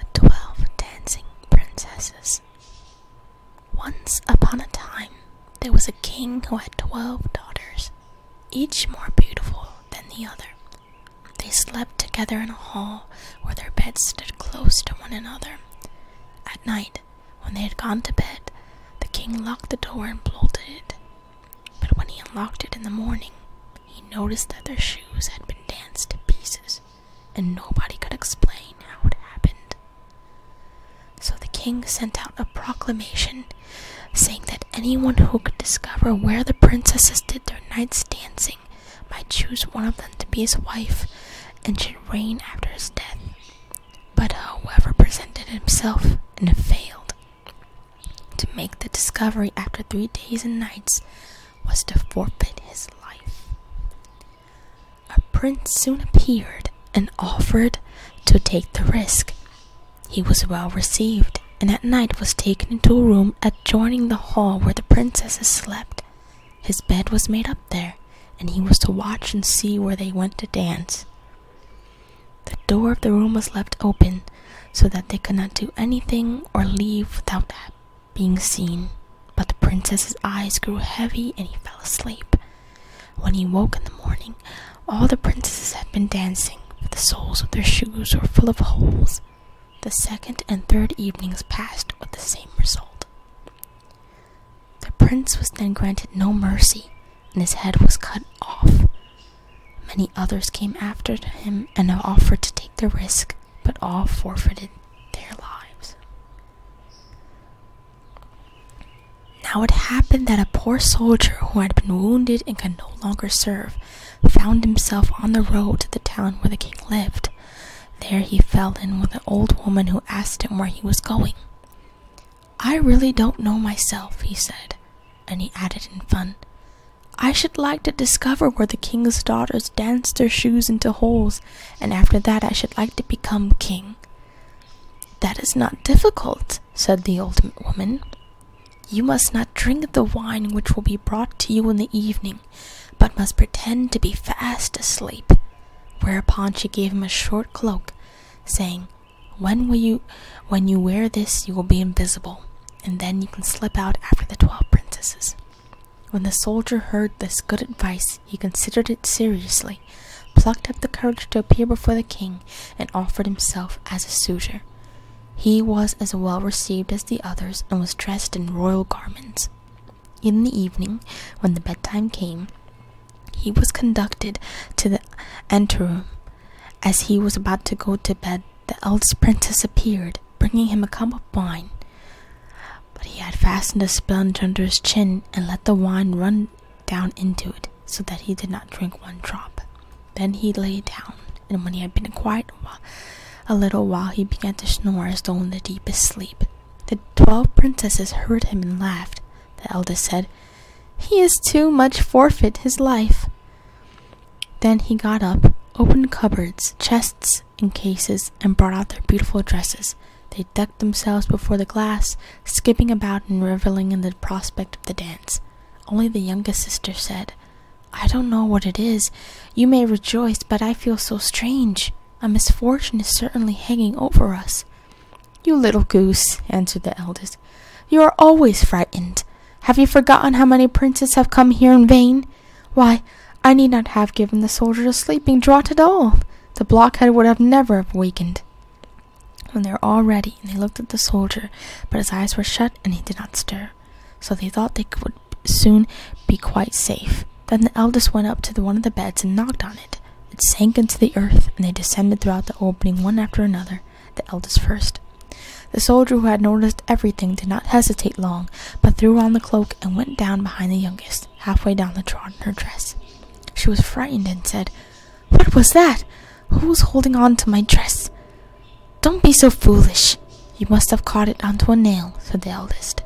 The Twelve Dancing Princesses Once upon a time, there was a king who had twelve daughters, each more beautiful than the other. They slept together in a hall where their beds stood close to one another. At night, when they had gone to bed, the king locked the door and bolted it, but when he unlocked it in the morning, he noticed that their shoes had been danced to pieces, and nobody could explain how it happened. So the king sent out a proclamation saying that anyone who could discover where the princesses did their night's dancing might choose one of them to be his wife and should reign after his death but whoever presented himself and failed to make the discovery after three days and nights was to forfeit his life. A prince soon appeared and offered to take the risk. He was well received, and at night was taken into a room adjoining the hall where the princesses slept. His bed was made up there, and he was to watch and see where they went to dance. The door of the room was left open so that they could not do anything or leave without being seen. But the princess's eyes grew heavy and he fell asleep. When he woke in the morning, all the princesses had been dancing, but the soles of their shoes were full of holes. The second and third evenings passed with the same result. The prince was then granted no mercy, and his head was cut off. Many others came after him and offered to take the risk, but all forfeited their lives. Now it happened that a poor soldier who had been wounded and could no longer serve found himself on the road to the town where the king lived. There he fell in with an old woman who asked him where he was going. I really don't know myself, he said, and he added in fun, I should like to discover where the king's daughters dance their shoes into holes, and after that I should like to become king. That is not difficult, said the old woman. You must not drink the wine which will be brought to you in the evening, but must pretend to be fast asleep. Whereupon she gave him a short cloak saying, When will you when you wear this you will be invisible, and then you can slip out after the twelve princesses. When the soldier heard this good advice, he considered it seriously, plucked up the courage to appear before the king, and offered himself as a suitor. He was as well received as the others, and was dressed in royal garments. In the evening, when the bedtime came, he was conducted to the anteroom. As he was about to go to bed, the eldest princess appeared, bringing him a cup of wine. But he had fastened a sponge under his chin and let the wine run down into it, so that he did not drink one drop. Then he lay down, and when he had been quiet a, little while, he began to snore as though in the deepest sleep. The twelve princesses heard him and laughed. The eldest said, He is too much forfeit his life. Then he got up, opened cupboards, chests, and cases, and brought out their beautiful dresses. They decked themselves before the glass, skipping about and reveling in the prospect of the dance. Only the youngest sister said, I don't know what it is. You may rejoice, but I feel so strange. A misfortune is certainly hanging over us. You little goose, answered the eldest. You are always frightened. Have you forgotten how many princes have come here in vain? Why, I need not have given the soldier a sleeping draught at all. The blockhead would never have wakened. When they were all ready, they looked at the soldier, but his eyes were shut and he did not stir. So they thought they would soon be quite safe. Then the eldest went up to one of the beds and knocked on it. It sank into the earth, and they descended throughout the opening one after another, the eldest first. The soldier who had noticed everything did not hesitate long, but threw on the cloak and went down behind the youngest, halfway down the drawn her dress. She was frightened and said, What was that? Who was holding on to my dress? Don't be so foolish. You must have caught it onto a nail, said the eldest.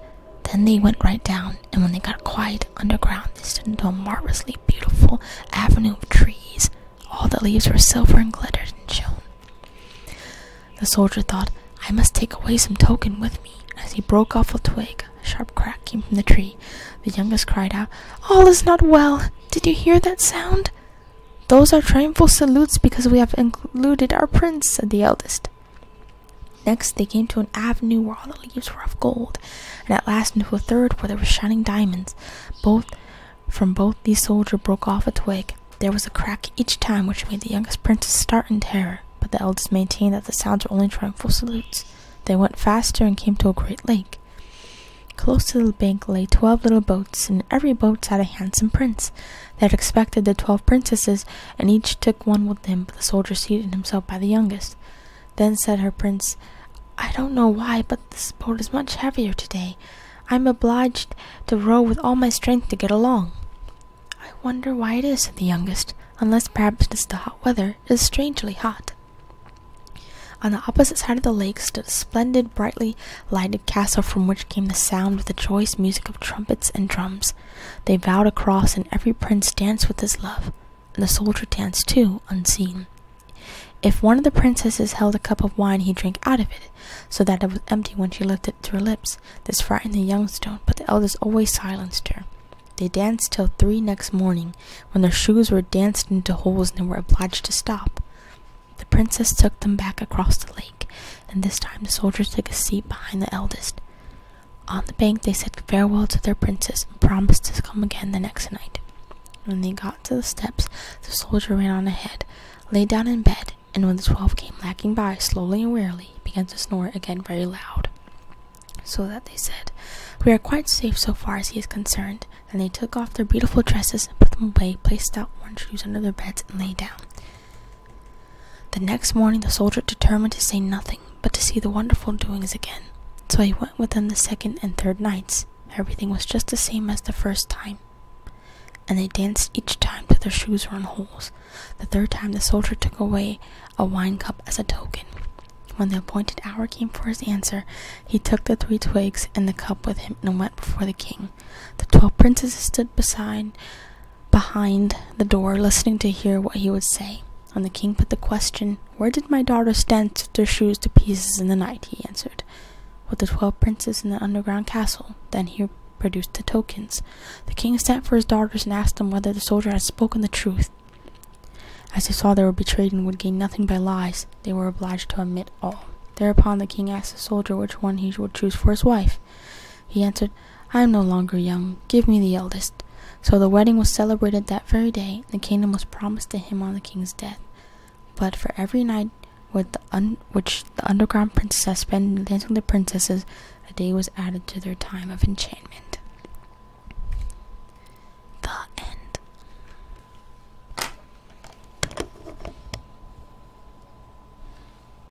Then they went right down, and when they got quiet, underground they stood into a marvelously beautiful avenue of trees. All the leaves were silver and glittered and shone. The soldier thought, I must take away some token with me. As he broke off a twig, a sharp crack came from the tree. The youngest cried out, All is not well! Did you hear that sound? Those are triumphal salutes because we have included our prince, said the eldest. Next, they came to an avenue where all the leaves were of gold, and at last into a third where there were shining diamonds. Both from both the soldiers broke off a twig. There was a crack each time, which made the youngest princess start in terror. But the eldest maintained that the sounds were only triumphal salutes. They went faster and came to a great lake. Close to the bank lay twelve little boats, and in every boat sat a handsome prince. that expected the twelve princesses, and each took one with him, but the soldier seated himself by the youngest. Then said her prince, I don't know why, but this boat is much heavier today. I am obliged to row with all my strength to get along. I wonder why it is, said the youngest, unless perhaps it is the hot weather. It is strangely hot. On the opposite side of the lake stood a splendid, brightly lighted castle from which came the sound of the joyous music of trumpets and drums. They vowed a cross, and every prince danced with his love, and the soldier danced too, unseen. If one of the princesses held a cup of wine, he drank out of it, so that it was empty when she lifted it to her lips. This frightened the youngstone, but the elders always silenced her. They danced till three next morning, when their shoes were danced into holes and they were obliged to stop. The princess took them back across the lake, and this time the soldier took a seat behind the eldest. On the bank, they said farewell to their princess and promised to come again the next night. When they got to the steps, the soldier ran on ahead, lay down in bed, and when the twelve came lagging by, slowly and wearily, began to snore again very loud. So that they said, We are quite safe so far as he is concerned. And they took off their beautiful dresses, and put them away, placed out worn shoes under their beds, and lay down. The next morning the soldier determined to say nothing, but to see the wonderful doings again. So he went with them the second and third nights. Everything was just the same as the first time. And they danced each time till their shoes were in holes. The third time the soldier took away a wine cup as a token. When the appointed hour came for his answer, he took the three twigs and the cup with him and went before the king. The twelve princesses stood beside behind the door listening to hear what he would say. When the king put the question, Where did my daughters dance their shoes to pieces in the night? he answered, With the twelve princes in the underground castle. Then he produced the tokens. The king sent for his daughters and asked them whether the soldier had spoken the truth. As they saw they were betrayed and would gain nothing by lies, they were obliged to admit all. Thereupon the king asked the soldier which one he would choose for his wife. He answered, I am no longer young. Give me the eldest. So the wedding was celebrated that very day. The kingdom was promised to him on the king's death. But for every night which the underground princesses spent dancing with the princesses, a day was added to their time of enchantment. The end.